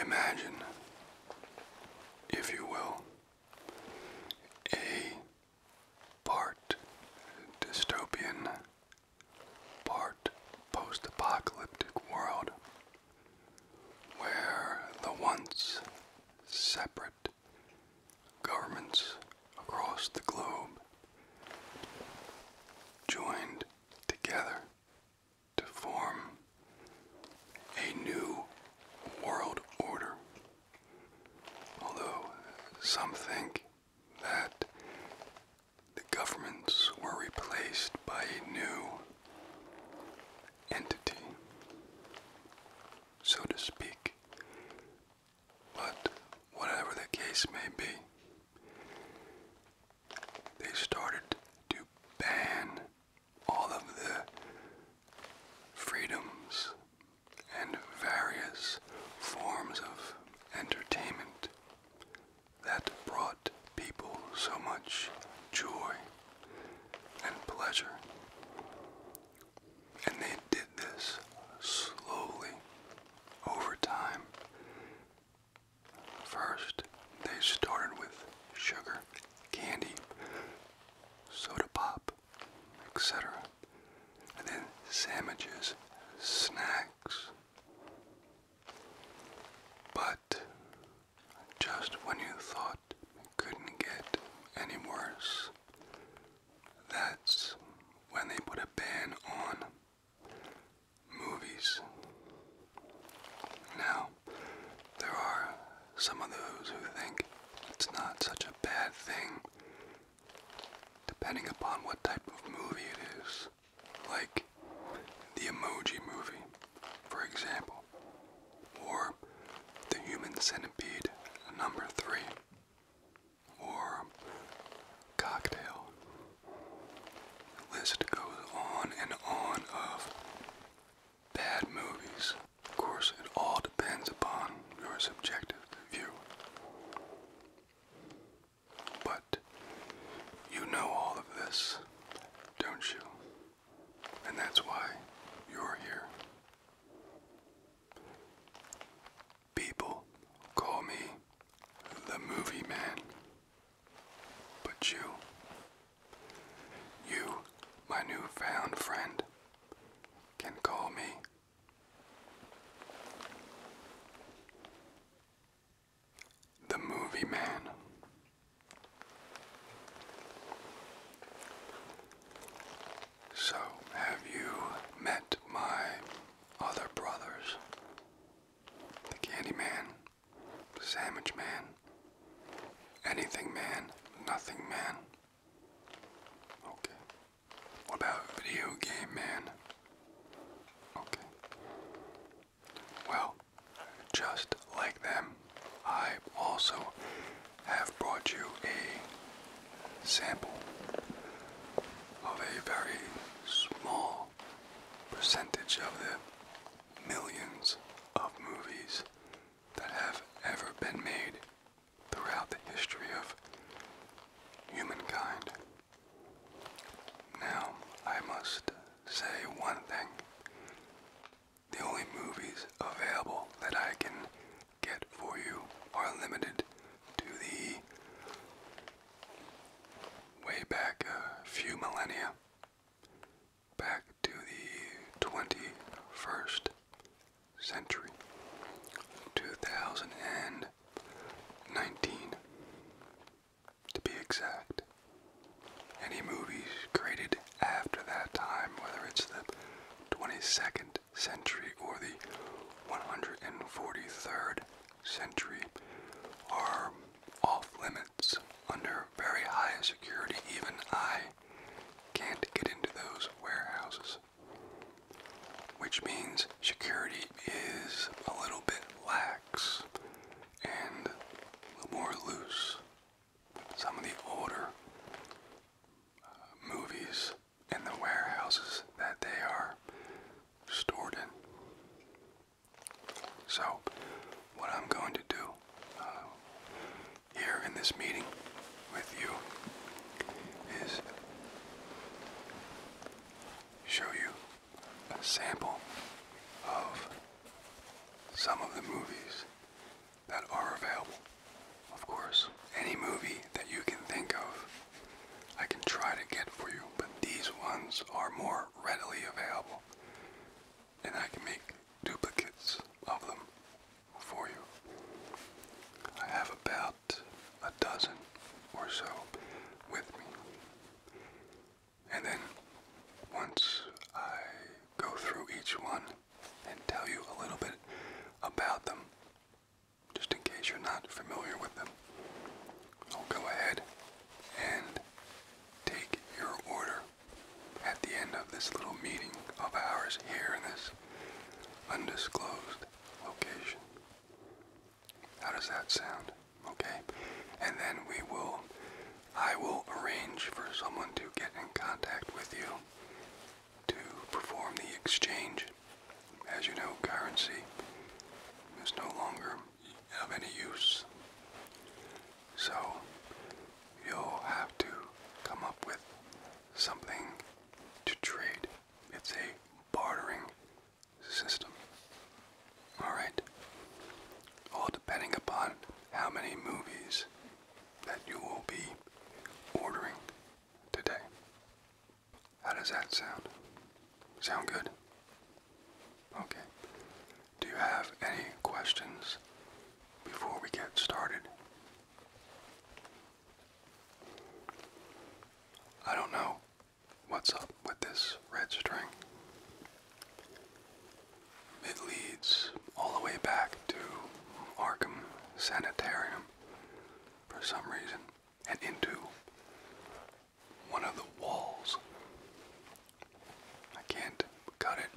Imagine, if you will, a part dystopian part post apocalyptic world where the once separate governments across the globe joined together to form a new world order. Although some think that the governments were replaced by a new entity, so to speak. But whatever the case may be, they started to ban all of the freedoms and various forms of entertainment that brought people so much joy and pleasure. And they did this slowly over time. First, they started with sugar, candy, soda pop, etc. And then sandwiches, snacks. But just when you thought it couldn't get any worse, that's when they put a ban on movies. Now, there are some of those who think it's not such a bad thing, depending upon what type of movie it is like the Emoji Movie, for example, or The Human Centipede number 3, or Cocktail. list goes on and on of bad movies. Of course, it all depends upon your subjective view. But you know all of this, don't you? And that's why you're here. People call me the movie man. But you, you, my newfound friend, can call me the Movie Man. So, have you met my other brothers? The Candy Man, the Sandwich Man, Anything Man, Nothing Man. Okay. What about Video Game Man? Okay. Well, just like them, I also have brought you a sample of a very small percentage of the millions of movies that have ever been made throughout the history of humankind. Now, I must say one thing. The only movies available that I can get for you are limited to the way back a uh, few millennia, back to the 21st century, 2019 to be exact. Any movies created after that time, whether it's the 22nd century or the 143rd century, are off limits under very high security. Even I can't get into those warehouses. Which means security is a little bit lax and a little more loose some of the older uh, movies and the warehouses that they are stored in. So, what I'm going to do uh, here in this meeting with you is show you a sample of some of the movies that are available. Of course, any movie that you can think of, I can try to get for you, but these ones are more readily available, and I can make duplicates of them for you. I have about a dozen or so with me. And then once I go through each one and tell you a little bit about them, just in case you're not familiar with them, I'll go ahead and take your order at the end of this little meeting of ours here in this undisclosed location. How does that sound? Okay? And then we will, I will arrange for someone to get in contact with you to perform the exchange. As you know, currency is no longer of any use. So you'll have to come up with something to trade. It's a bartering system. All right. All depending upon how many movies that you will be ordering today. How does that sound? Sound good? Okay. Do you have any questions before we get started? I don't know what's up with this red string. It leads all the way back to Arkham Sanitarium for some reason and into one of the walls. I can't cut it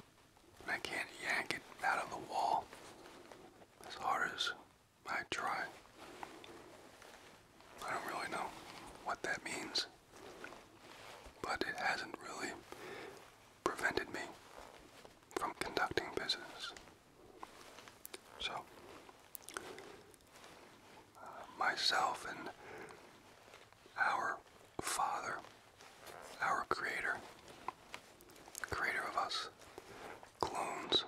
I can't yank it out of the wall as hard as I try. I don't really know what that means but it hasn't really prevented me from conducting business. So, uh, myself and our Father, our Creator, Creator of us, clones,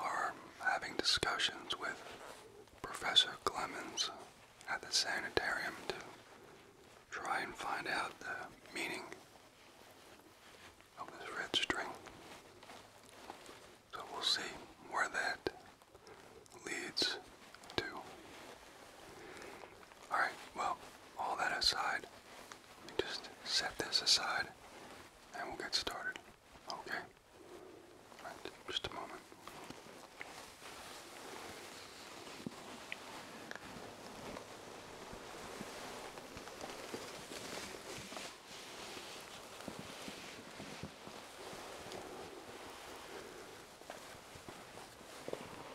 are having discussions with Professor Clemens at the sanitarium to try and find out the meaning of this red string. So we'll see where that leads to. Alright, well, all that aside, let me just set this aside and we'll get started. Okay? just a moment.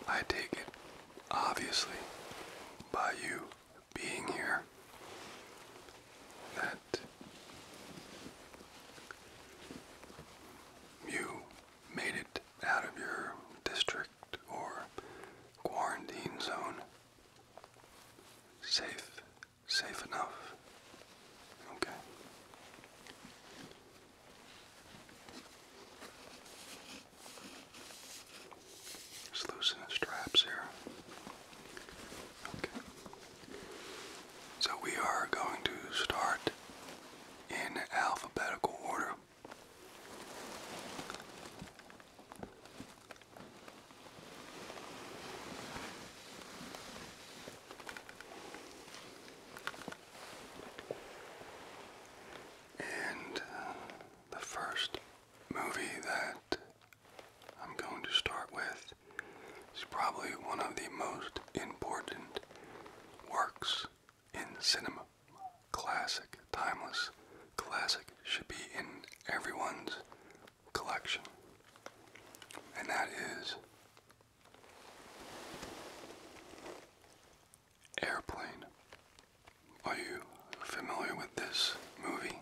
I take it, obviously, by you being here, that you made it out of your district or quarantine zone safe, safe enough. Okay. Just loosen the straps here. Okay. So we are going to start in alphabetical order. And uh, the first movie that I'm going to start with is probably one of the most important works in cinema. Classic, timeless, classic should be in everyone's collection. And that is Airplane. Are you familiar with this movie?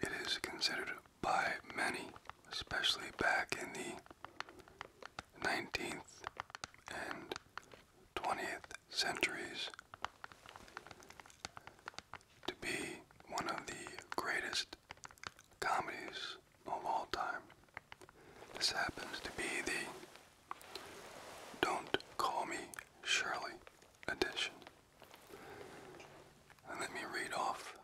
It is considered by many, especially back in the 19th and 20th centuries, to be one of the greatest comedies of all time. This happens to be the Don't Call Me Shirley edition let me read off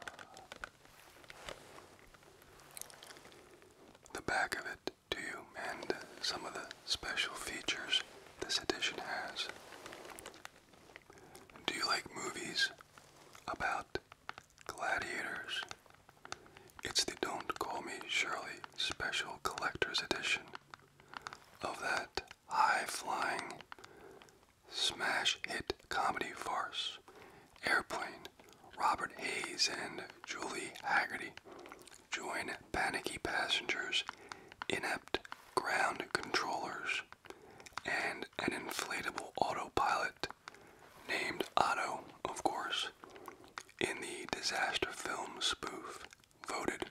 the back of it to you and some of the special features this edition has. Do you like movies about gladiators? It's the Don't Call Me Shirley Special Collector's Edition of that high flying smash hit comedy farce Airplane, Robert Hayes and Julie Haggerty join panicky passengers, inept ground controllers, and an inflatable autopilot named Otto, of course, in the disaster film spoof, voted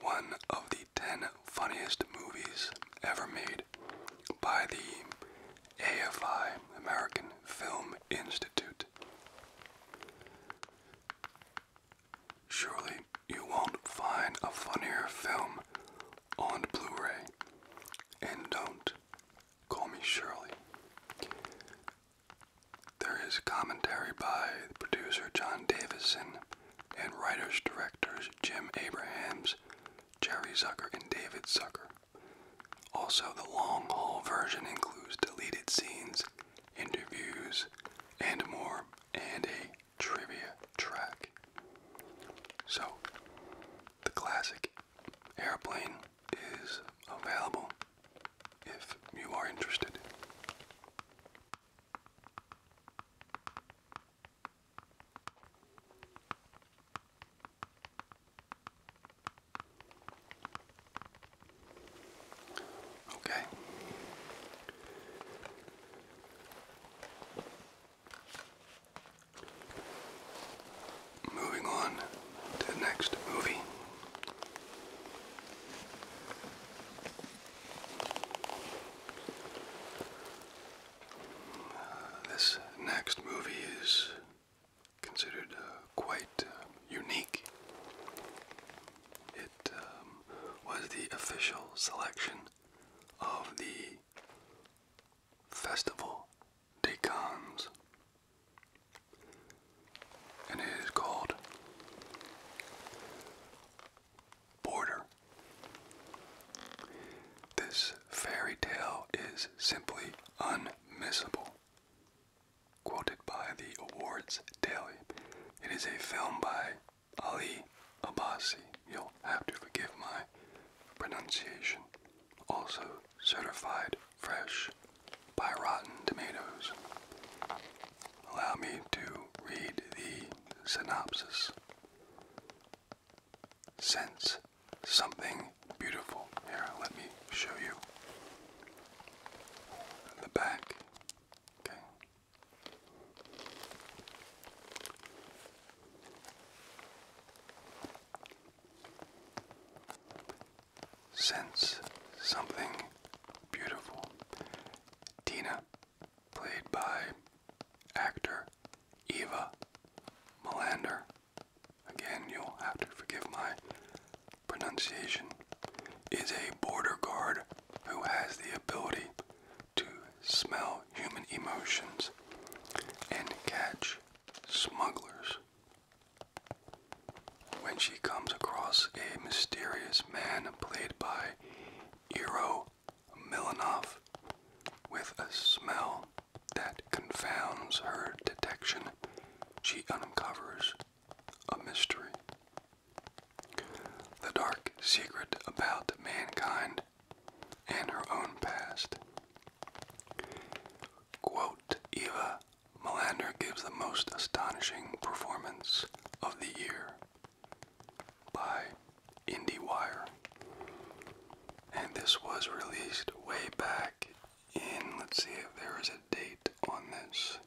one of the 10 funniest movies ever made by the AFI, American Film Institute. Surely you won't find a funnier film on Blu ray. And don't call me Shirley. There is commentary by producer John Davison and writers directors Jim Abrahams Jerry Zucker, and David Zucker. Also, the long haul version includes deleted scenes, interviews, and more, and a trivia track. So, the classic airplane is available if you are interested. Okay. Moving on to the next movie. Uh, this next movie is considered uh, quite uh, unique. It um, was the official selection of the Festival de Cannes, and it is called Border. This fairy tale is simply unmissable. Quoted by the Awards Daily, it is a film by Ali Abbasi. You'll have to forgive my pronunciation. Also certified fresh by Rotten Tomatoes. Allow me to read the synopsis sense something beautiful. Here, let me show you the back. Okay. Sense something beautiful. Tina, played by actor Eva Melander, Again, you'll have to forgive my pronunciation. Is a border guard who has the ability to smell human emotions and catch smugglers. When she comes across a mysterious man played by Iro Milanov with a smell that confounds her detection, she uncovers a mystery. The dark secret about mankind and her own past. Eva Melander gives the most astonishing performance of the year by IndieWire. And this was released way back in, let's see if there is a date on this,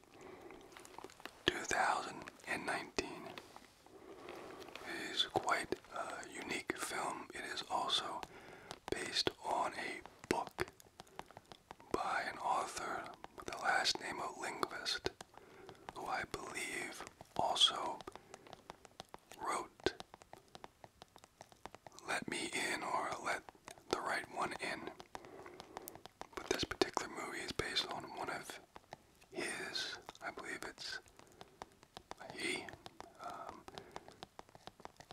2019. It is quite a unique film. It is also based on a book by an author with the last name of Lingvist, who I believe also wrote let me in or let the right one in. But this particular movie is based on one of his, I believe it's he, um,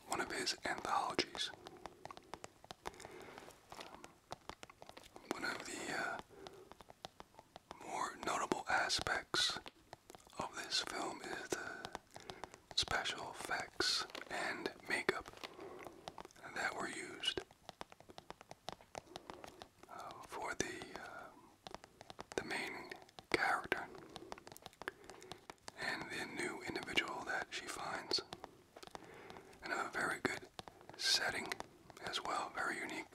one of his anthologies. one of the uh, more notable aspects of this film is the special effects, and makeup that were used uh, for the uh, the main character and the new individual that she finds, and a very good setting as well, very unique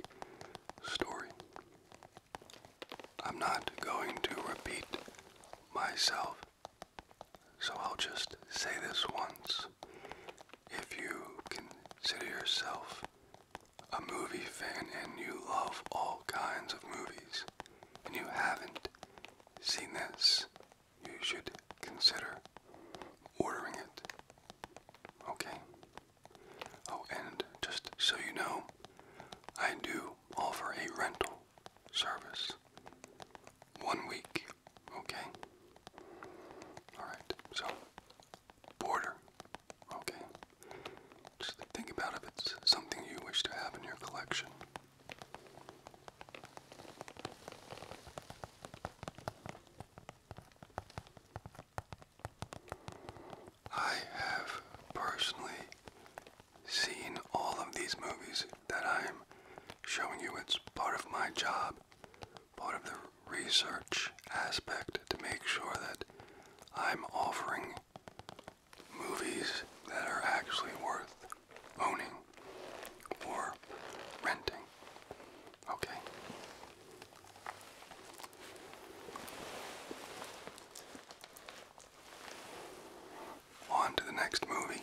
story. I'm not going to repeat myself, so I'll just say this once. If you consider yourself a movie fan and you love all kinds of movies, and you haven't seen this, you should consider ordering it. Okay? Oh, and just so you know, I do offer a rental service. One week, okay? Alright, so border, okay? think about if it's something you wish to have in your collection. I have personally seen all of these movies that I'm showing you. It's part of my job, part of the research aspect to make sure that I'm offering movies that are actually worth owning or renting. Okay. On to the next movie.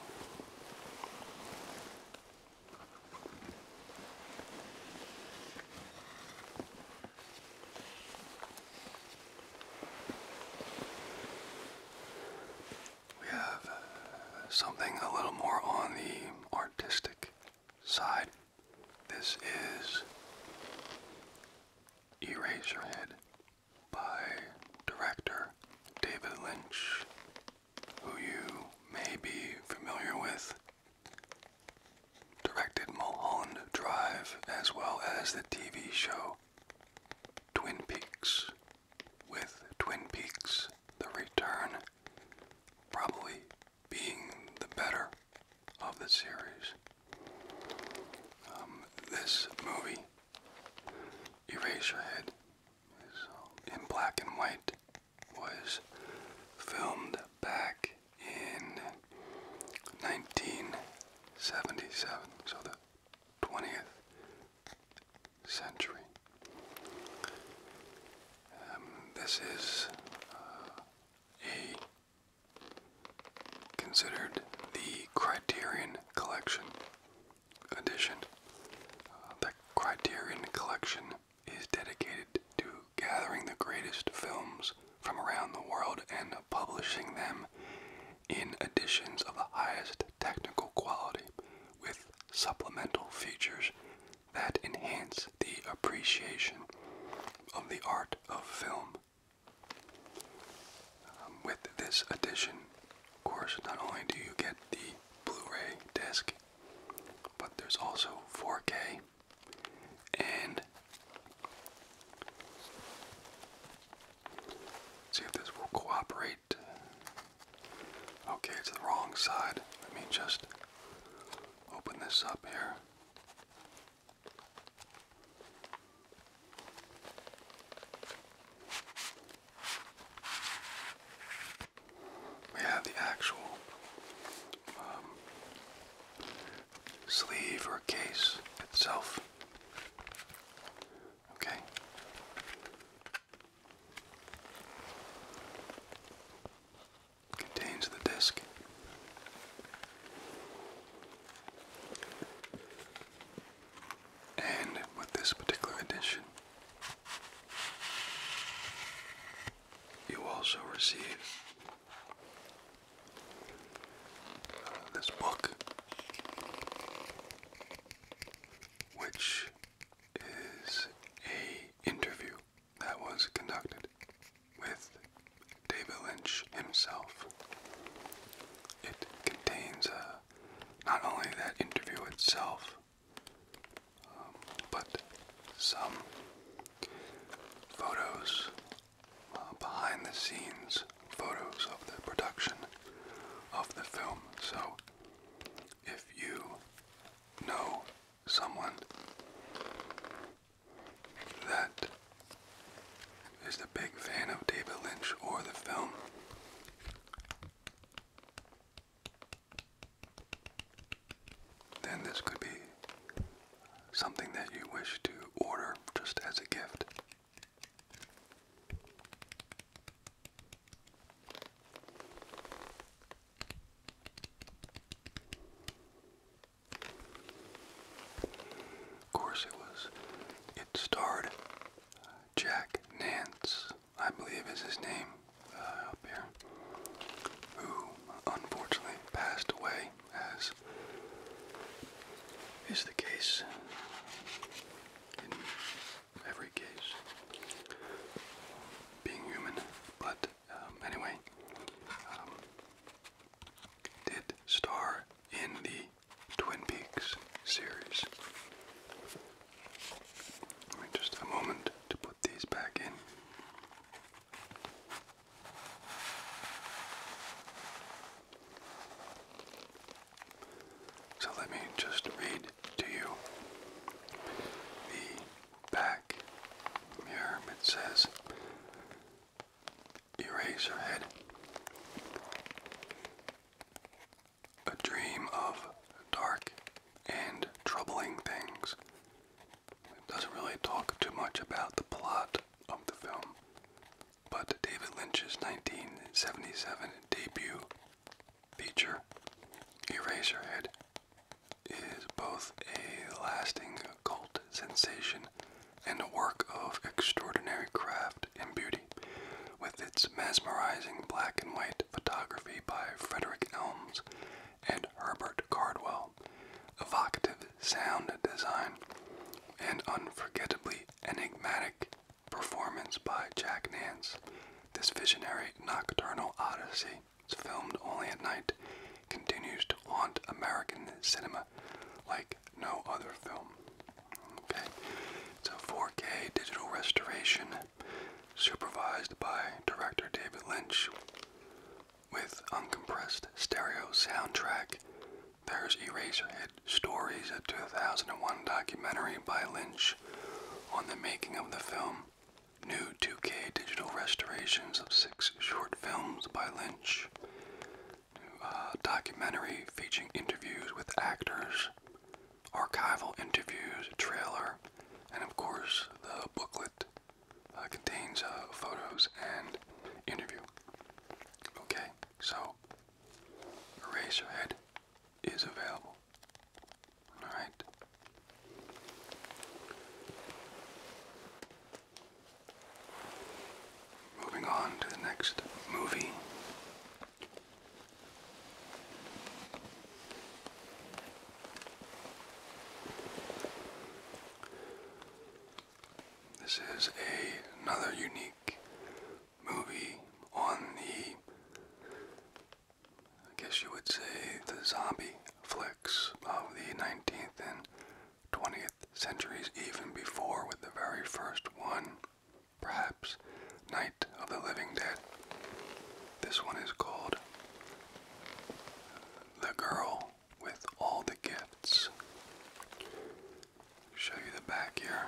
We have uh, something a little more on the artistic side. This is Eraserhead by director David Lynch, who you may be familiar with. Directed Mulholland Drive as well as the TV show Twin Peaks, with Twin Peaks The Return probably being the better of the series. Um, this movie, Eraserhead, um, in black and white, was filmed back in 1977, so the 20th century. Um, this is uh, a considered the Criterion Collection edition. Uh, the Criterion Collection is dedicated to gathering the greatest films from around the world and publishing them in editions of the highest technical quality with supplemental features that enhance the appreciation of the art of film. Um, with this edition, of course, not only do you get the Blu-ray disc, but there's also 4K and see if this will cooperate. Okay, it's the wrong side. Let me just open this up here. We have the actual um, sleeve or case itself. Okay. Contains the disc. And with this particular edition, you also receive this book, which is a interview that was conducted with David Lynch himself. It contains a not only that interview itself, um, but some photos, uh, behind the scenes photos of the production of the film. So if you know someone that is a big fan of David Lynch or the film. Then this could be something that you wish to order just as a gift. Of course, it was. It starred Jack Nance, I believe is his name uh, up here, who unfortunately passed away, as is the case in every case, being human. But um, anyway, um, did star in the Twin Peaks series. just a moment to put these back in. So let me just read to you the back mirror. It says Eraserhead a dream of dark and troubling things. It doesn't really talk too much about the plot of the film, but David Lynch's 1977 debut feature, Eraserhead, is both a lasting cult sensation and a work of extraordinary craft photographed in beauty, with its mesmerizing black and white photography by Frederick Elms and Herbert Cardwell, evocative sound design, and unforgettably enigmatic performance by Jack Nance. This visionary nocturnal odyssey, filmed only at night, continues to haunt American cinema like no other film. Okay, so 4K digital restoration, supervised by director David Lynch, with uncompressed stereo soundtrack. There's Eraserhead Stories, a 2001 documentary by Lynch on the making of the film. New 2K digital restorations of six short films by Lynch. Uh, documentary featuring interviews with actors archival interviews, trailer, and of course the booklet uh, contains uh, photos and interview. Okay, so Eraserhead is available. Alright. Moving on to the next movie. This is a, another unique movie on the, I guess you would say, the zombie flicks of the 19th and 20th centuries, even before with the very first one perhaps Night of the Living Dead. This one is called The Girl with All the Gifts. Show you the back here.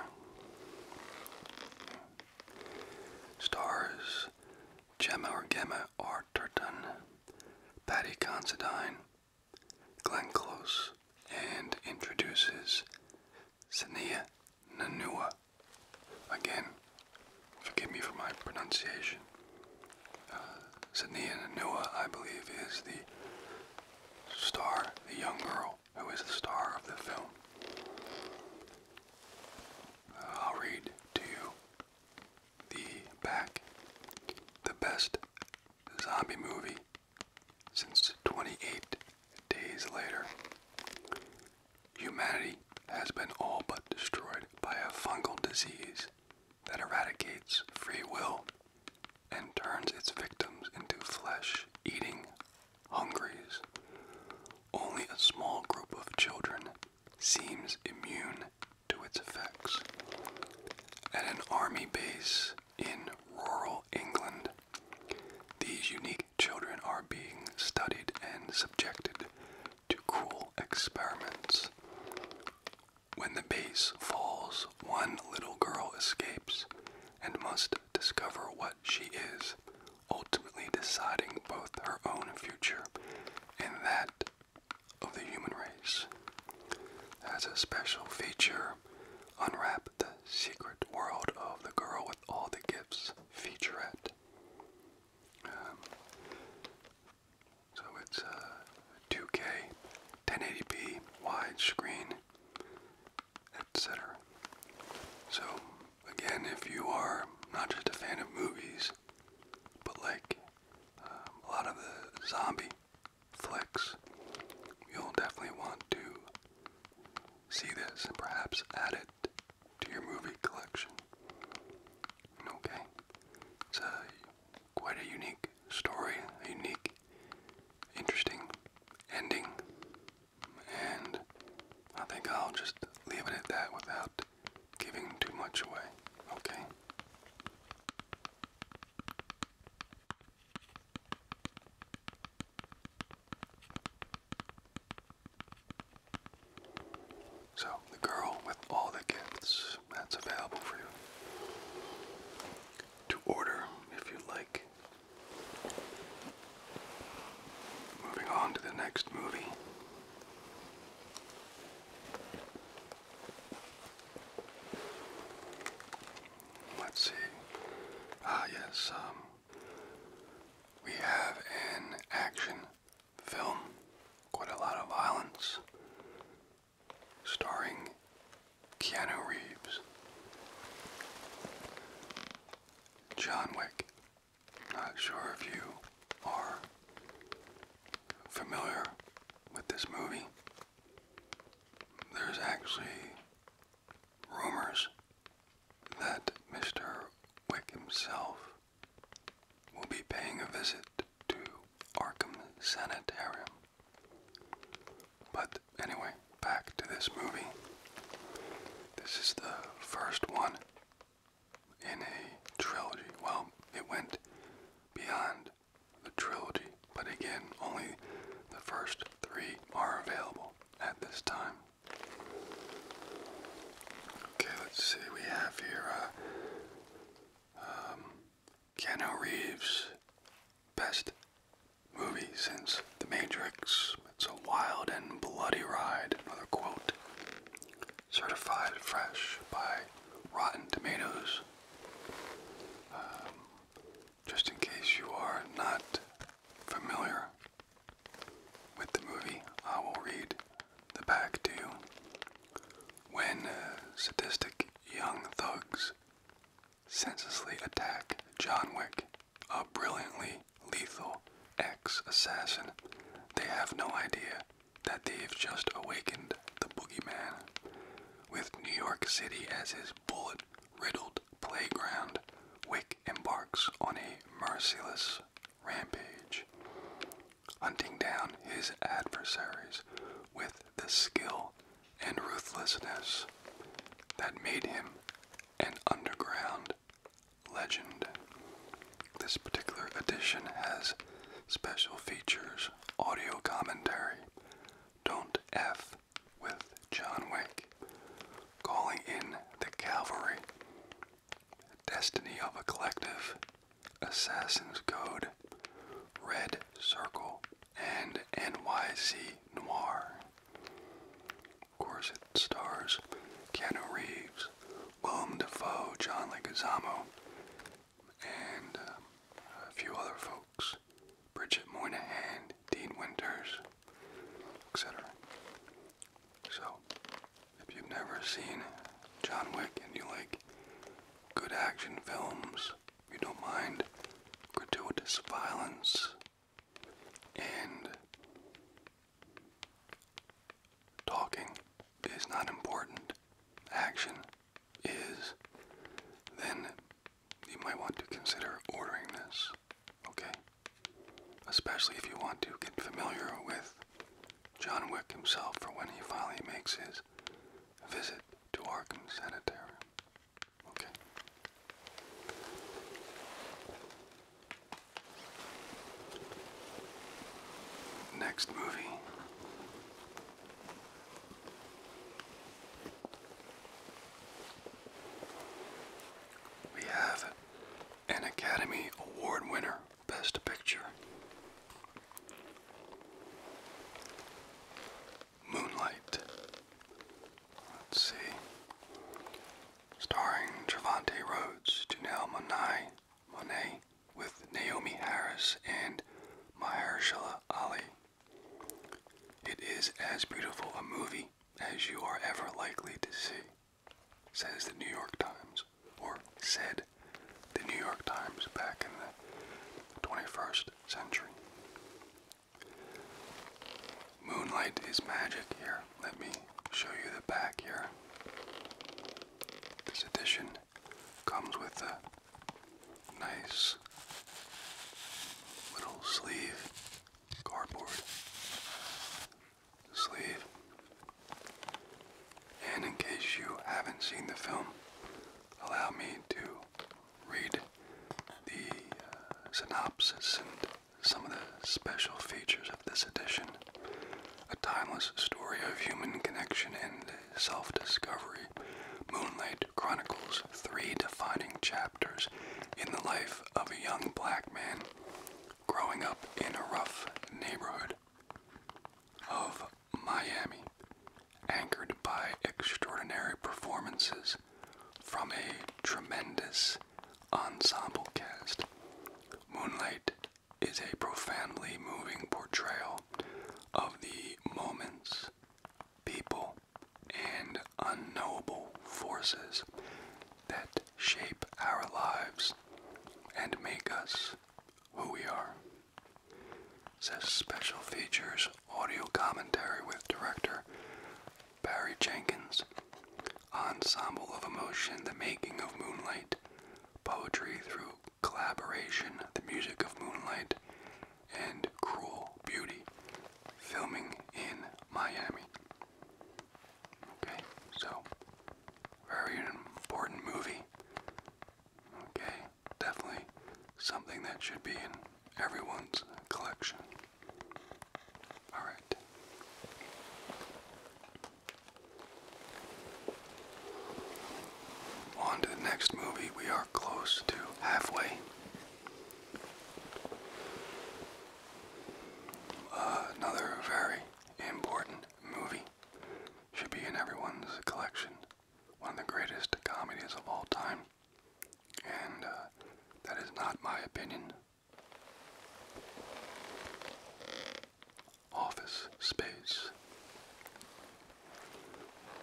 Stars Gemma or Gamma or Tertan, Patty Considine, Glen Close, and introduces Sania Nanua. Again, forgive me for my pronunciation. Uh, Nanua, I believe, is the star, the young girl who is the star of the film. Uh, I'll read to you the back. The best zombie movie since 28 days later, humanity has been all but destroyed by a fungal disease that eradicates free will and turns its victims into flesh eating hungries. Only a small group of children seems immune to its effects. At an army base in rural England, these unique children are being studied and subjected to cruel experiments. When the base falls, one little girl escapes and must discover what she is, ultimately deciding both her own future and that of the human race. As a special feature, unwrap the secret world of the girl all the gifts featurette. Um, so it's uh, 2K, 1080p, widescreen, etc. So again, if you are not just a fan of movies, but like um, a lot of the zombie flicks, you'll definitely want to see this and perhaps add it to your movie collection. Okay, it's a, quite a unique story, a unique, interesting ending, and I think I'll just leave it at that without giving too much away. Okay. So, the girl with all the gifts that's available for you to order if you like. Moving on to the next movie. Let's see. Ah, yes, um, we have an action film, quite a lot of violence, starring Keanu Reeves. John Wick. Not sure if you are familiar with this movie. There's actually rumors that Mr. Wick himself will be paying a visit to Arkham Sanitarium. But anyway, back to this movie. This is the first one in a trilogy. Well, it went beyond the trilogy, but again, only the first three are available at this time. Okay, let's see. We have here uh, um, Keanu Reeves' best movie since The Matrix. It's a wild and bloody ride. Another quote. Certified fresh by Rotten Tomatoes. Um, just in case you are not familiar with the movie, I will read the back to When sadistic young thugs senselessly attack John Wick, a brilliantly lethal ex assassin, they have no idea that they've just awakened the boogeyman. With New York City as his bullet riddled playground, Wick embarks on a merciless rampage, hunting down his adversaries with the skill and ruthlessness that made him an underground legend. This particular edition has special features, audio commentary, Don't F with John Wick, calling in the cavalry. Destiny of a collective, Assassin's Code, Red Circle, and NYC Noir. Of course, it stars Keanu Reeves, Willem Dafoe, John Leguizamo, and uh, a few other folks. Bridget Moynihan, Dean Winters, etc. So, if you've never seen John Wick and you like good action films, you don't mind gratuitous violence and talking is not important, action is, then you might want to consider ordering this, okay? especially if you want to get familiar with John Wick himself for when he finally makes his visit to Arkham Sanitarium. Okay. Next movie. We have an Academy Award winner, Best Picture. Moonlight. Let's see. Starring Trevante Rhodes, Janelle Monae, Monet, with Naomi Harris and Mahershala Ali. It is as beautiful a movie as you are ever likely to see says the New York Times, or said the New York Times back in the 21st century. Moonlight is magic here. Let me show you the back here. This edition comes with a nice little sleeve cardboard sleeve. And in case you haven't seen the film, allow me to read the uh, synopsis and some of the special features of this edition. A timeless story of human connection and self discovery. Moonlight chronicles three defining chapters in the life of a young black man growing up in a rough neighborhood of Miami, anchored by extraordinary performances from a tremendous ensemble cast, Moonlight is a profoundly moving portrayal of the moments, people, and unknowable forces that shape our lives and make us who we are. Says Special Features audio commentary with director Barry Jenkins, Ensemble of Emotion, The Making of Moonlight, Poetry Through Collaboration, The Music of Moonlight, and Cruel Beauty, filming in Miami. Okay, so very important movie. Okay, definitely something that should be in everyone's collection. Alright. On to the next movie. We are close to halfway. Uh, another very important movie. Should be in everyone's collection. One of the greatest comedies of all time. And uh, that is not my opinion. Office space.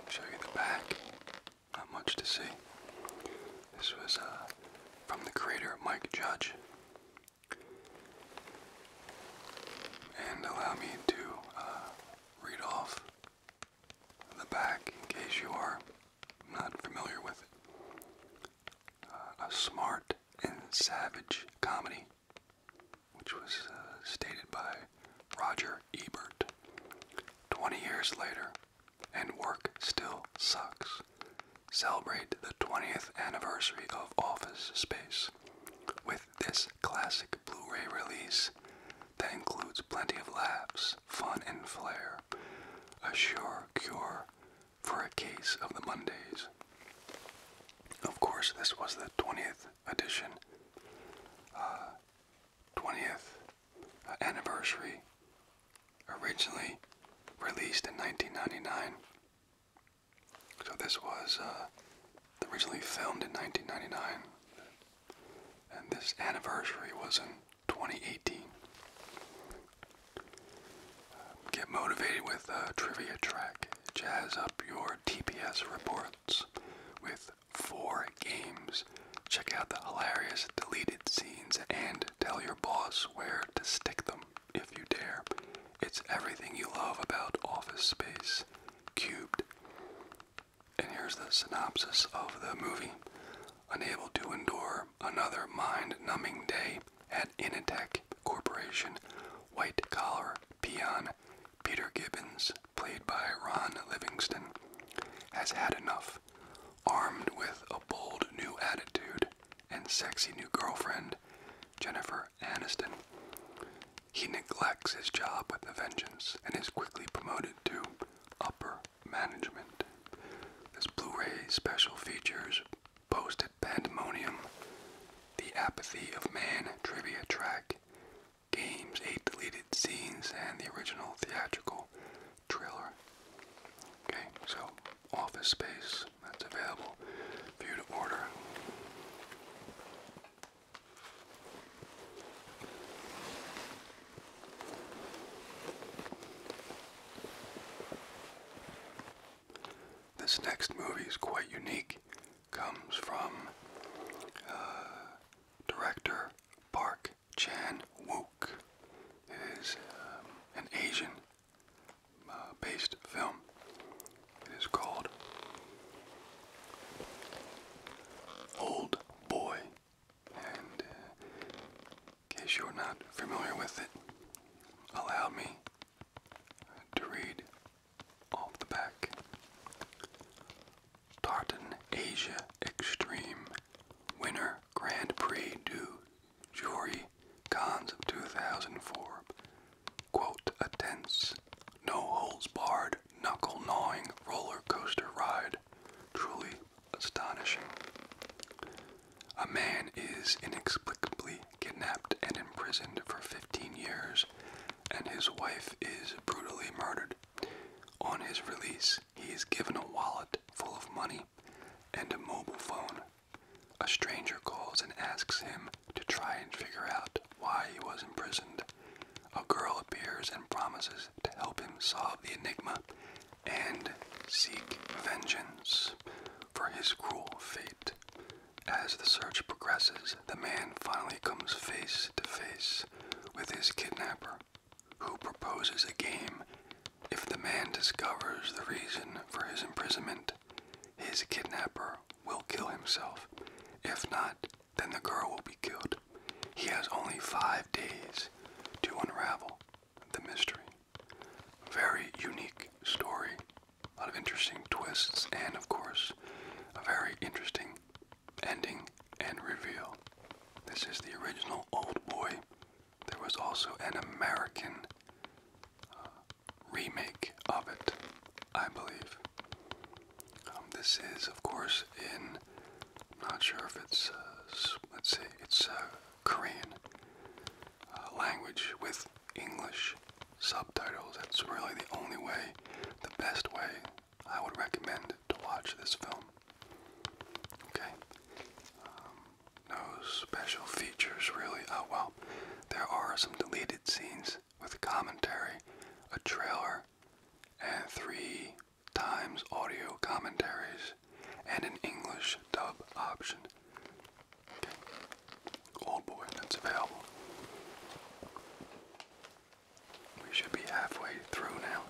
Show you the back. Not much to see. This was uh, from the creator Mike Judge. And allow me to uh, read off the back in case you are not familiar with uh, a smart and savage comedy, which was uh, stated by Roger Ebert 20 years later, and work still sucks celebrate the 20th anniversary of Office Space with this classic Blu ray release that includes plenty of laughs, fun, and flair. A sure cure for a case of the Mondays. Of course, this was the 20th edition, 20th uh, uh, anniversary, originally released in 1999. So this was uh, originally filmed in 1999, and this anniversary was in 2018. get motivated with trivia track. Jazz up your TPS reports with four games. Check out the hilarious deleted scenes and tell your boss where to stick them if you dare. It's everything you love about Office Space Cubed. And here's the synopsis of the movie. Unable to endure another mind numbing day at Initech Corporation, white collar peon Peter Gibbons, played by Ron Livingston, has had enough. Armed with a bold new attitude and sexy new girlfriend, Jennifer Aniston. He neglects his job with a vengeance and is quickly promoted to upper management. This Blu-ray special features posted pandemonium, the apathy of man trivia track, games, eight deleted scenes, and the original theatrical trailer. Okay, so office space that's available for you to order. This next movie is quite unique. Comes from uh, director Park Chan Wook. It is um, an Asian uh, based film. It is called Old Boy. And uh, in case you're not familiar with it, allow me to read off the back. Tartan Asia Extreme Winner Grand Prix du Jewelry Cons of 2004. Quote, a tense, no holds barred, knuckle gnawing roller coaster ride. Truly astonishing. A man is inexplicably kidnapped and imprisoned for 15 years, and his wife is brutally murdered. On his release, he is given a wallet full of money and a mobile phone a stranger calls and asks him to try and figure out why he was imprisoned. A girl appears and promises to help him solve the enigma and seek vengeance for his cruel fate. As the search progresses, the man finally comes face to face with his kidnapper, who proposes a game. If the man discovers the reason for his imprisonment, his kidnapper will kill himself. If not, then the girl will be killed. He has only five days to unravel the mystery. Very unique story, a lot of interesting twists, and of course, a very interesting ending and reveal. This is the original Old Boy. There was also an American uh, remake of it, I believe. Um, this is, of course, in. not sure if it's. Uh, let's see, it's uh, Korean uh, language with English subtitles. That's really the only way, the best way I would recommend to watch this film. Okay. Um, no special features really. Oh, there are some deleted scenes with commentary, a trailer, and three times audio commentaries, and an English dub option. Old oh, boy, that's available. We should be halfway through now.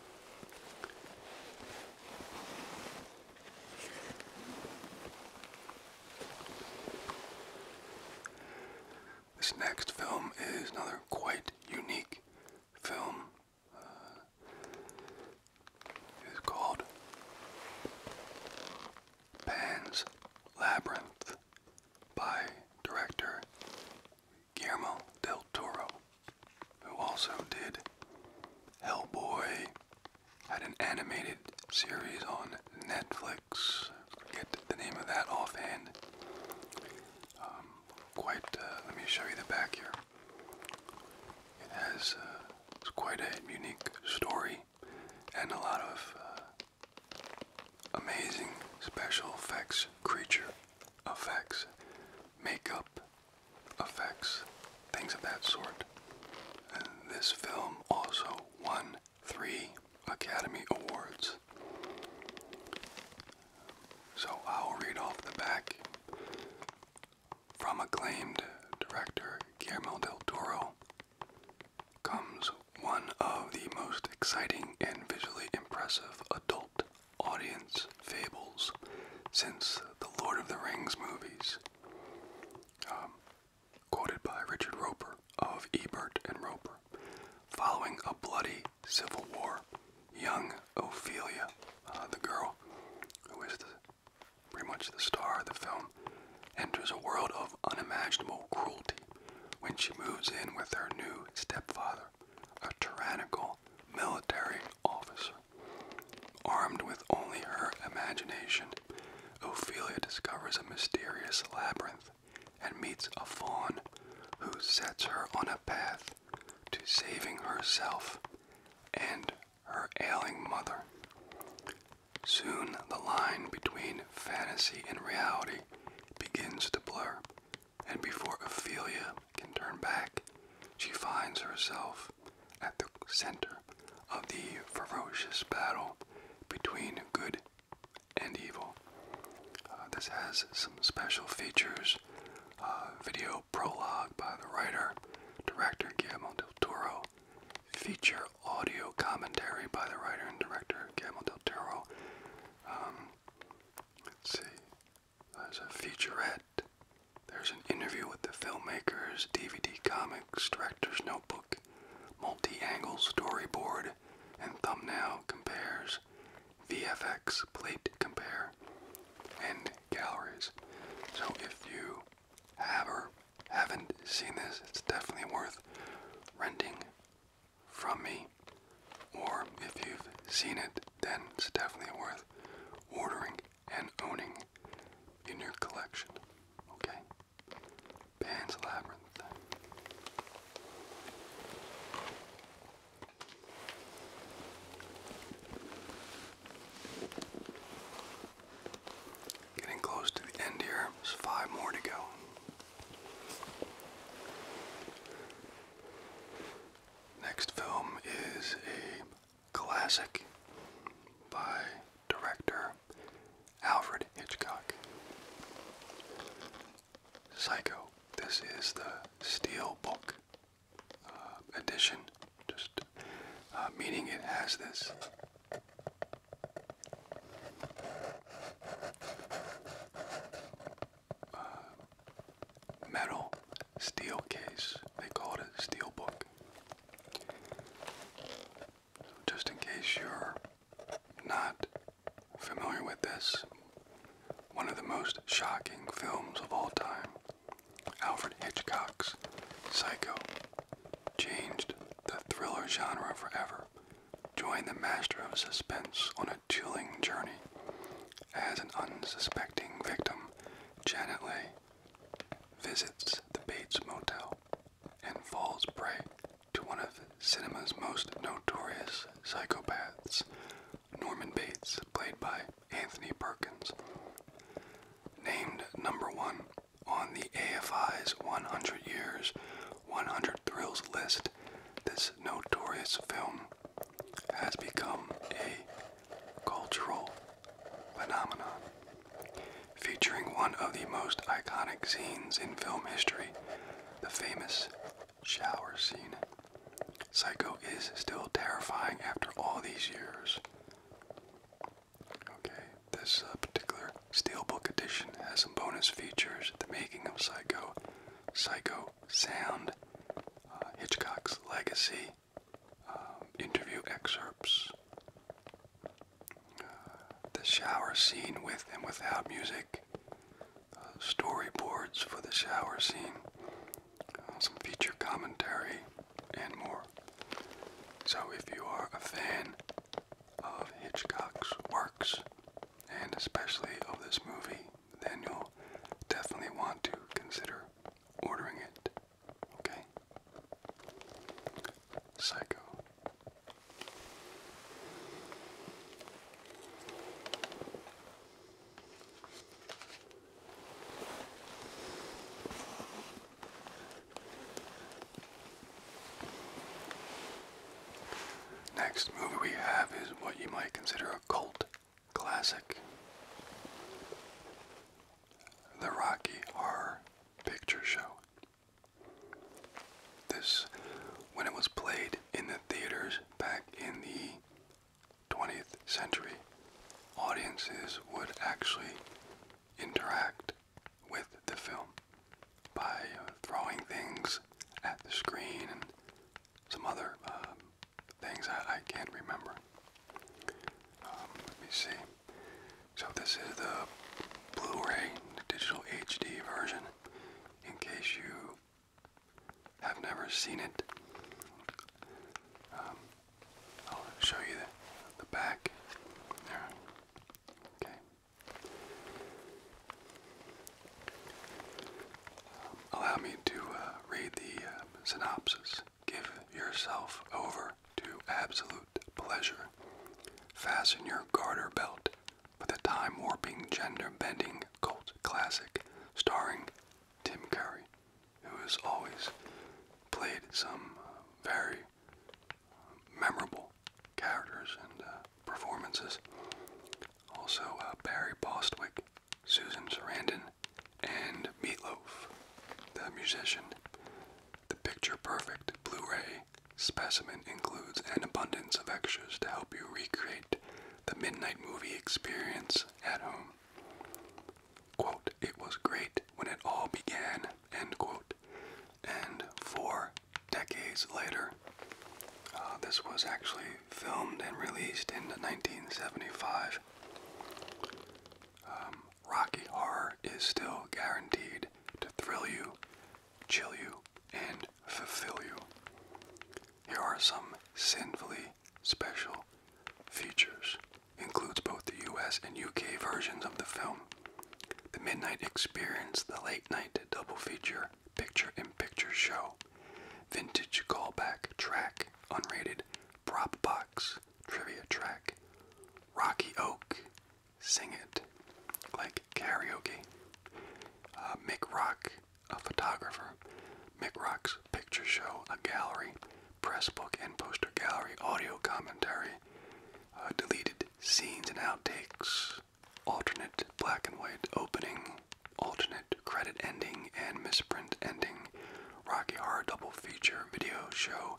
This next film is another quite unique film. Uh, it's called Pan's Labyrinth by director Guillermo del Toro, who also did Hellboy, had an animated series on Netflix. Get the name of that offhand. Um, quite. Uh, let me show you the back here. It has uh, quite a unique story and a lot of uh, amazing special effects, creature effects, makeup effects, things of that sort. And this film also won three Academy Awards. So I'll read off the back from acclaimed director Guillermo del Toro comes one of the most exciting and visually impressive adult audience fables since the Lord of the Rings movies. Um, quoted by Richard Roper of Ebert and Roper. Following a bloody civil war, young Ophelia, uh, the girl who is pretty much the star of the film, enters a world of unimaginable cruelty when she moves in with her new stepfather, a tyrannical military officer. Armed with only her imagination Ophelia discovers a mysterious labyrinth and meets a fawn who sets her on a path to saving herself and her ailing mother. Soon the line between fantasy and reality begins to blur, and before Ophelia can turn back, she finds herself at the center of the ferocious battle between good and evil. Uh, this has some special features. Uh, video prologue by the writer, director Guillermo del Toro. Feature audio commentary by the writer and director Guillermo del Toro. Um, let's see. There's uh, a featurette. There's an interview with the filmmakers, DVD comics, director's notebook, multi-angle storyboard, and thumbnail compares, VFX plate compare, and galleries. So if you have or haven't seen this, it's definitely worth renting from me. Or if you've seen it, then it's definitely worth ordering and owning in your collection. Okay? Pan's Labyrinth. Getting close to the end here. There's five more to go. Next film is a classic by director Alfred Hitchcock. Psycho. This is the Steel Book uh, edition, just uh, meaning it has this. Uh, metal steel case. They call it a steel book just in case you're not familiar with this, one of the most shocking films of all time, Alfred Hitchcock's Psycho, changed the thriller genre forever. Join the master of suspense on a chilling journey as an unsuspecting victim, Janet Leigh, visits the Bates Motel and falls prey to one of cinema's most notorious psychopaths, Norman Bates, played by Anthony Perkins. Named number one on the AFI's 100 Years, 100 Thrills list, this notorious film has become a cultural phenomenon, featuring one of the most iconic scenes in film history the famous shower scene. Psycho is still terrifying after all these years. Okay, this uh, particular Steelbook edition has some bonus features the making of Psycho, Psycho Sound, uh, Hitchcock's Legacy, um, interview excerpts the shower scene with and without music, uh, storyboards for the shower scene, uh, some feature commentary, and more. So, if you are a fan of Hitchcock's works, and especially of this movie, then you'll definitely want to consider ordering it. Okay? Psycho. Next movie we have is what you might consider a cult classic The Rocky Horror Picture Show. This, when it was played in the theaters back in the 20th century, audiences would actually interact with the film by uh, throwing things at the screen and some other um, things I, can't remember. Um, let me see. So this is the Blu-ray digital HD version in case you have never seen it. Um, I'll show you the, back. Okay. Um, allow me to uh, read the uh, synopsis. Give yourself over to absolute pleasure. Fasten your garter belt for the time warping, gender bending cult classic starring Tim Curry, who has always played some uh, very uh, memorable characters and uh, performances. Also, Barry Bostwick, Susan Sarandon, and Meatloaf, the musician. The picture perfect Blu ray Specimen includes an abundance of extras to help you recreate the midnight movie experience at home. it was great when it all began, And four decades later, uh, this was actually filmed and released in 1975. Um, Rocky Horror is still guaranteed to thrill you, chill you, and fulfill you. Here are some sinfully special features. Includes both the US and UK versions of the film. The Midnight Experience, the late night double feature, picture in picture show, vintage callback track, unrated prop box, trivia track, Rocky Oak, Sing It, like karaoke. Uh, Mick Rock, a photographer. Mick Rock's picture show, a gallery, press book and poster gallery, audio commentary, uh, deleted scenes and outtakes, alternate black and white opening, alternate credit ending and misprint ending, Rocky Horror double feature video show,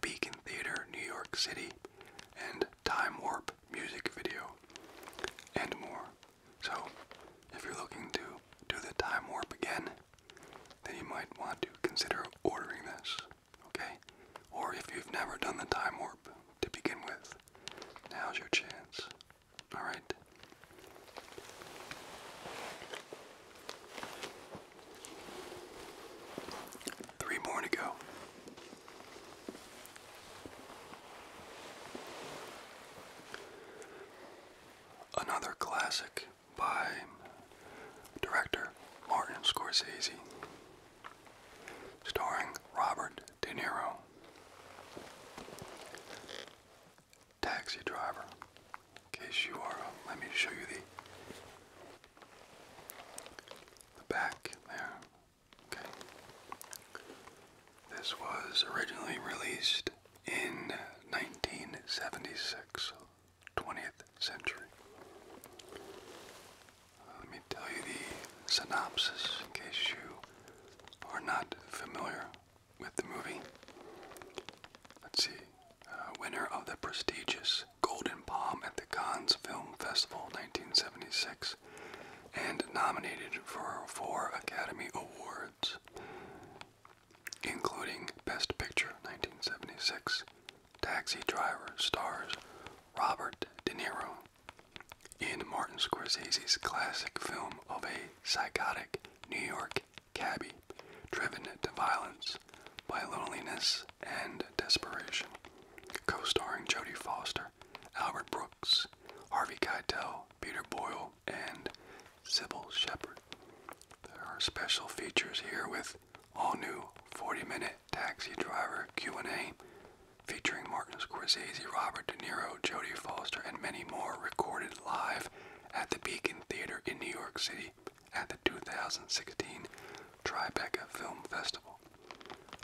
Beacon Theater, New York City, and Time Warp music video, and more. So, if you're looking to do the Time Warp again, then you might want to consider ordering this, okay? Or if you've never done the Time Warp to begin with, now's your chance, alright? Three more to go. Another classic by director Martin Scorsese, starring Robert De Niro. Taxi driver. In case you are, uh, let me show you the back there. This was originally released in 1976, 20th century. Uh, let me tell you the synopsis in case you are not familiar with the movie. Let's see. Uh, winner of the prestigious Golden Palm at the Cannes Film Festival 1976 and nominated for four Academy Awards, including Best Picture 1976, Taxi Driver stars Robert De Niro in Martin Scorsese's classic film of a psychotic New York cabbie driven to violence by loneliness and desperation, co starring Jodie Foster, Albert Brooks, Harvey Keitel, Peter Boyle, and Sybil Shepherd. There are special features here with all-new 40-minute taxi driver Q&A featuring Martin Scorsese, Robert De Niro, Jodie Foster, and many more recorded live at the Beacon Theater in New York City at the 2016 Tribeca Film Festival.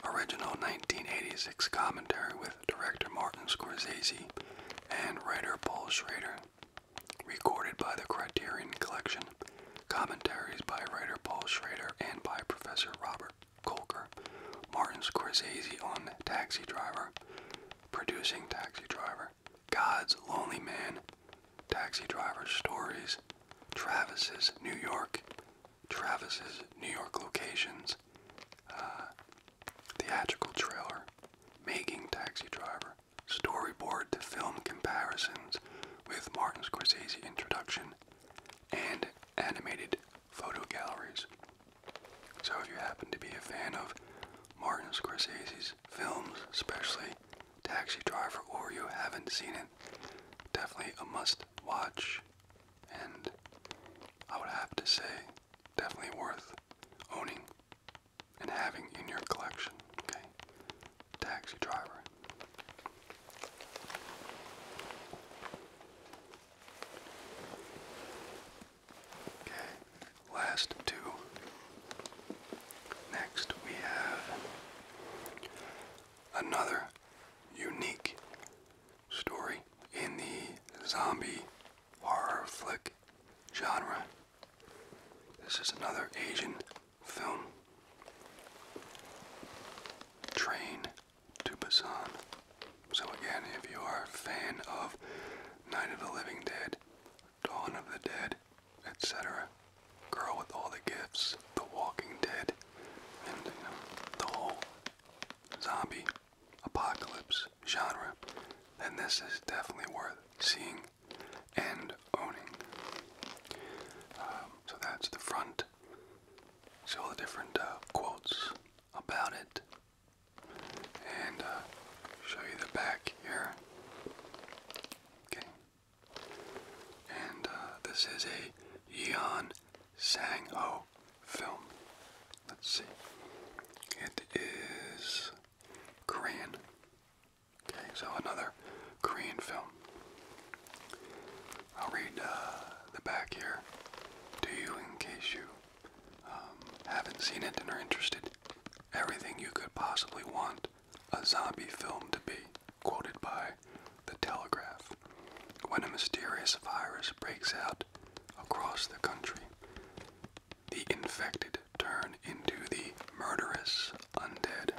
Original 1986 commentary with director Martin Scorsese and writer Paul Schrader. Recorded by the Criterion Collection. Commentaries by writer Paul Schrader and by Professor Robert Kolker. Martin Scorsese on Taxi Driver. Producing Taxi Driver. God's Lonely Man. Taxi Driver Stories. Travis's New York. Travis's New York locations, uh, theatrical trailer, making Taxi Driver, storyboard to film comparisons with Martin Scorsese introduction, and animated photo galleries. So if you happen to be a fan of Martin Scorsese's films, especially Taxi Driver, or you haven't seen it, definitely a must watch and I would have to say definitely worth owning and having in your collection. Okay, Taxi Driver. Okay, last two. Next we have another unique story in the zombie horror flick genre. This is another Asian film. Train to Busan. So again, if you are a fan of Night of the Living Dead, Dawn of the Dead, etc., Girl with All the Gifts, The Walking Dead, and the whole zombie apocalypse genre, then this is definitely worth seeing and owning. Um, so that's the front. See all the different uh, quotes about it. And uh, show you the back here. Okay. And uh, this is a Yeon Sang-ho film. Let's see. It is Korean. Okay, so another Korean film. I'll read uh, the back here to you in case you um, haven't seen it and are interested. Everything you could possibly want a zombie film to be, quoted by The Telegraph. When a mysterious virus breaks out across the country. The infected turn into the murderous undead.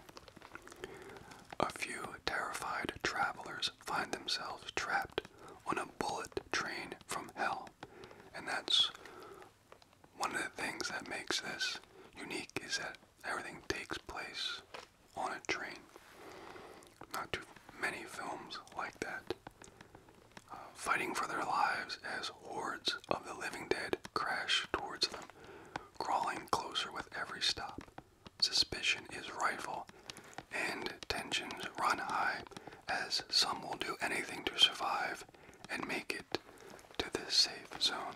A few terrified travelers find themselves trapped on a bullet train from hell, and that's one of the things that makes this unique is that everything takes place on a train. Not too many films like that fighting for their lives as hordes of the living dead crash towards them, crawling closer with every stop. Suspicion is rife, and tensions run high as some will do anything to survive and make it to this safe zone.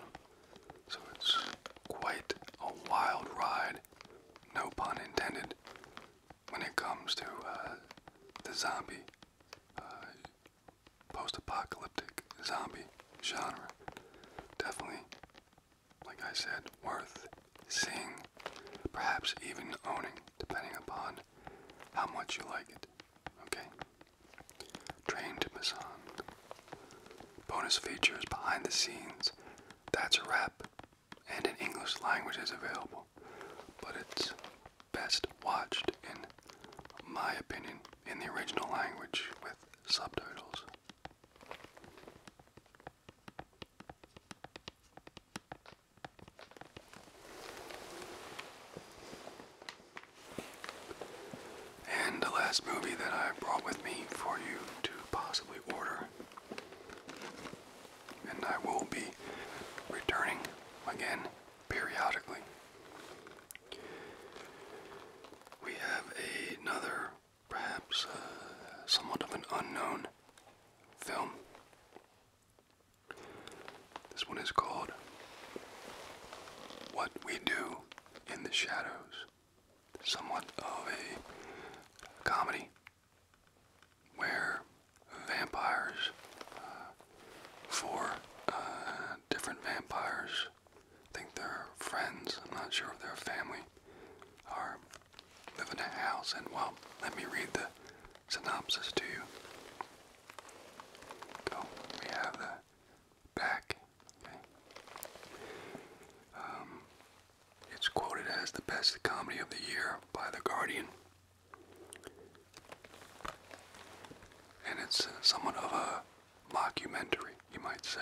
So it's quite a wild ride, no pun intended, when it comes to uh, the zombie, uh, post-apocalyptic zombie genre, definitely, like I said, worth seeing, perhaps even owning, depending upon how much you like it. Okay. Train to Busan. Bonus features behind the scenes. That's a wrap and an English language is available, but it's best watched, in my opinion, in the original language with subtitles. And the last movie that I brought with me for you to possibly order and I will be returning again periodically. We have another, perhaps uh, somewhat of an unknown film. This one is called What We Do in the Shadows, somewhat of a comedy where vampires, uh, four uh, different vampires, I think they're friends, I'm not sure if they're family, are living in a house. And well, let me read the synopsis to you. So we have the back. Okay. Um, it's quoted as the best comedy of the year by The Guardian. And it's uh, somewhat of a mockumentary, you might say.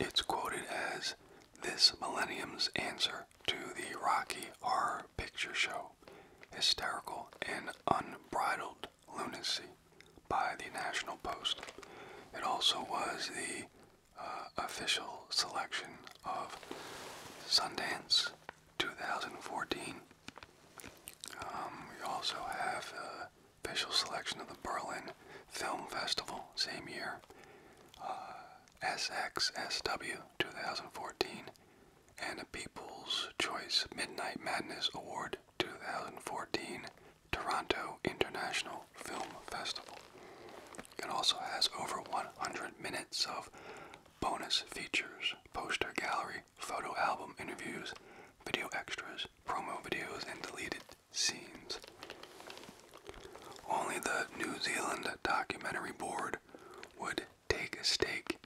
It's quoted as this millennium's answer to the Rocky Horror Picture Show, Hysterical and Unbridled Lunacy by the National Post. It also was the uh, official selection of Sundance 2014. Um, we also have official selection of the Berlin Film Festival, same year. Uh, SXSW 2014 and a People's Choice Midnight Madness Award 2014 Toronto International Film Festival. It also has over 100 minutes of bonus features, poster gallery, photo album interviews, video extras, promo videos, and deleted scenes. Only the New Zealand Documentary Board would take a stake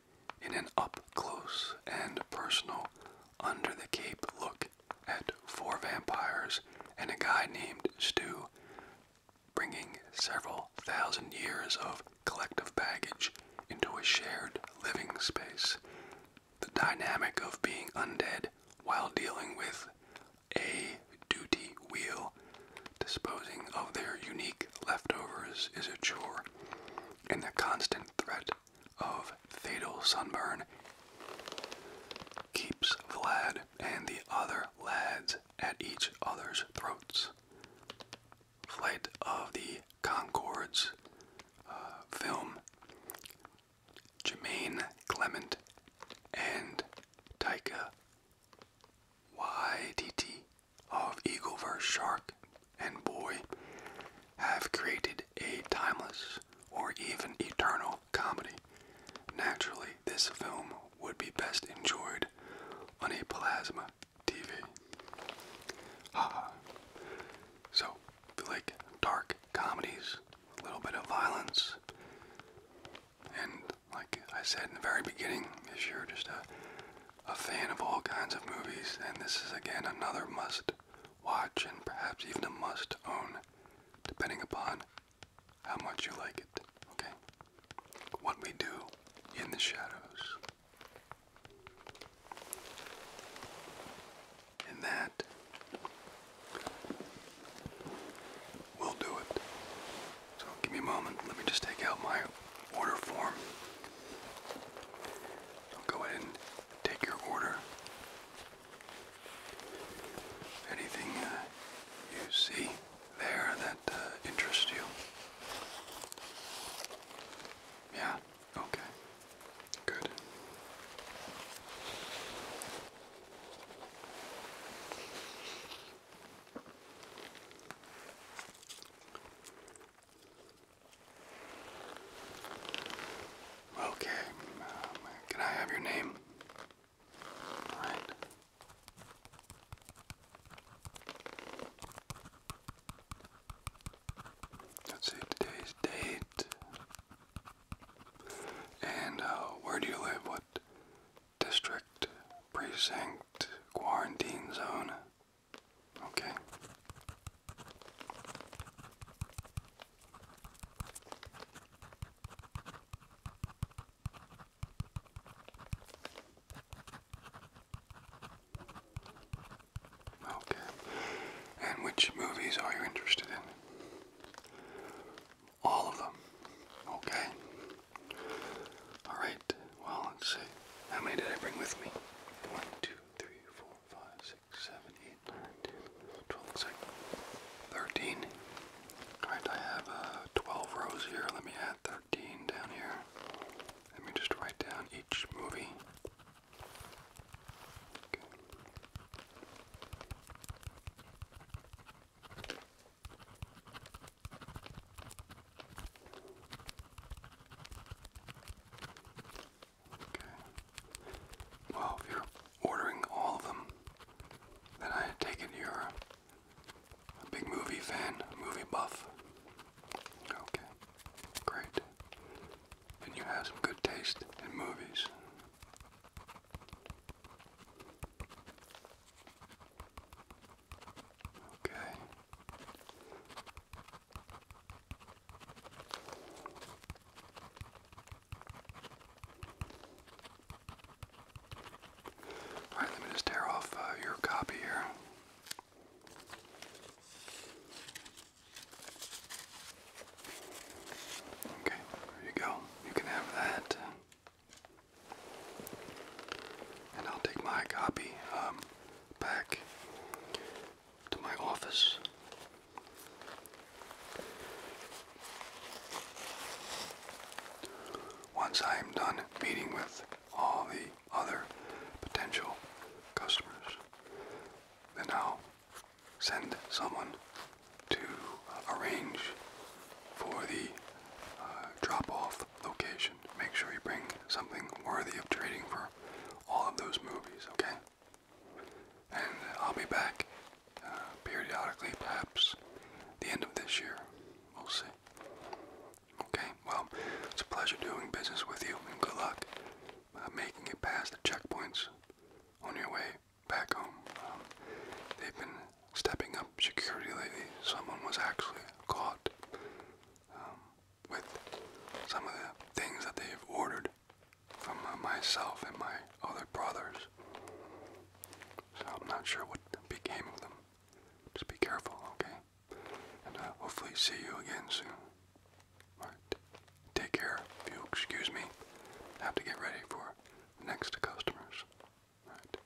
in an up close and personal, under the cape look at four vampires and a guy named Stu bringing several thousand years of collective baggage into a shared living space. The dynamic of being undead while dealing with a duty wheel disposing of their unique leftovers is a chore, and the constant threat of fatal sunburn keeps Vlad and the other lads at each other's throats. Flight of the Concords uh, film, Jermaine Clement and Taika YTT of Eagle vs. Shark and Boy have created a timeless or even eternal comedy. Naturally, this film would be best enjoyed on a plasma TV. Haha. So, like dark comedies, a little bit of violence, and like I said in the very beginning, if you're just a, a fan of all kinds of movies, then this is again another must watch and perhaps even a must own, depending upon how much you like it, okay? What we do in the shadows. And that will do it. So give me a moment. Let me just take out my order form. I'll go ahead and take your order. Anything uh, you see there that uh, interest you? Yeah, okay. Good. Okay, uh, can I have your name? All right. Let's see today's date. And uh, where do you live? What district, precinct, quarantine zone? Okay. Okay. And which movies are you interested in? All of them. Okay. Alright. Well, let's see. How many did I bring with me? 1, Alright, I have uh, 12 rows here. Let me add 13 down here. Let me just write down each movie. Okay. Well, if you're ordering all of them, then I take it you a big movie fan, movie buff. Okay, great. And you have some good taste in movies. Okay. Alright, let me just tear off uh, your copy here. Okay, there you go. You can have that. And I'll take my copy um, back to my office. Once I am done meeting with all the other potential customers. Then I'll send someone to uh, arrange for the uh, drop-off location. Make sure you bring something worthy of trading for all of those movies, okay? And I'll be back uh, periodically, perhaps the end of this year. We'll see. Okay, well, it's a pleasure doing business with you, and good luck uh, making it past the checkpoints on your way back home. Um, they've been stepping up security lately. Someone was actually caught um, with some of the things that they've ordered from uh, myself and my other brothers. So I'm not sure what became of them. Just be careful, okay? and uh, hopefully see you again soon. All right, take care. If you'll excuse me, have to get ready for next customers. All right.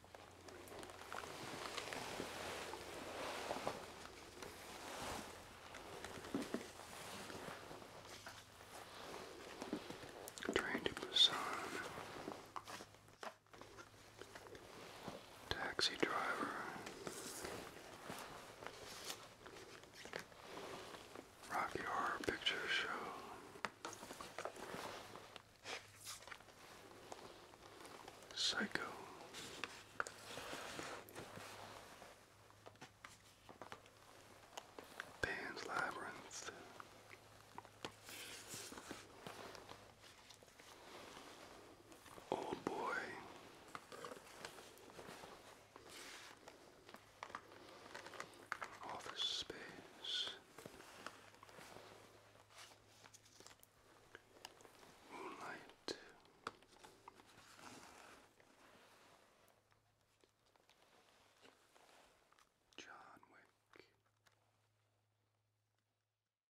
Train to Busan. Taxi driver. Rocky Horror Picture Show. Psycho. Pan's Labyrinth. Old oh, boy. Office space. Moonlight. John Wick.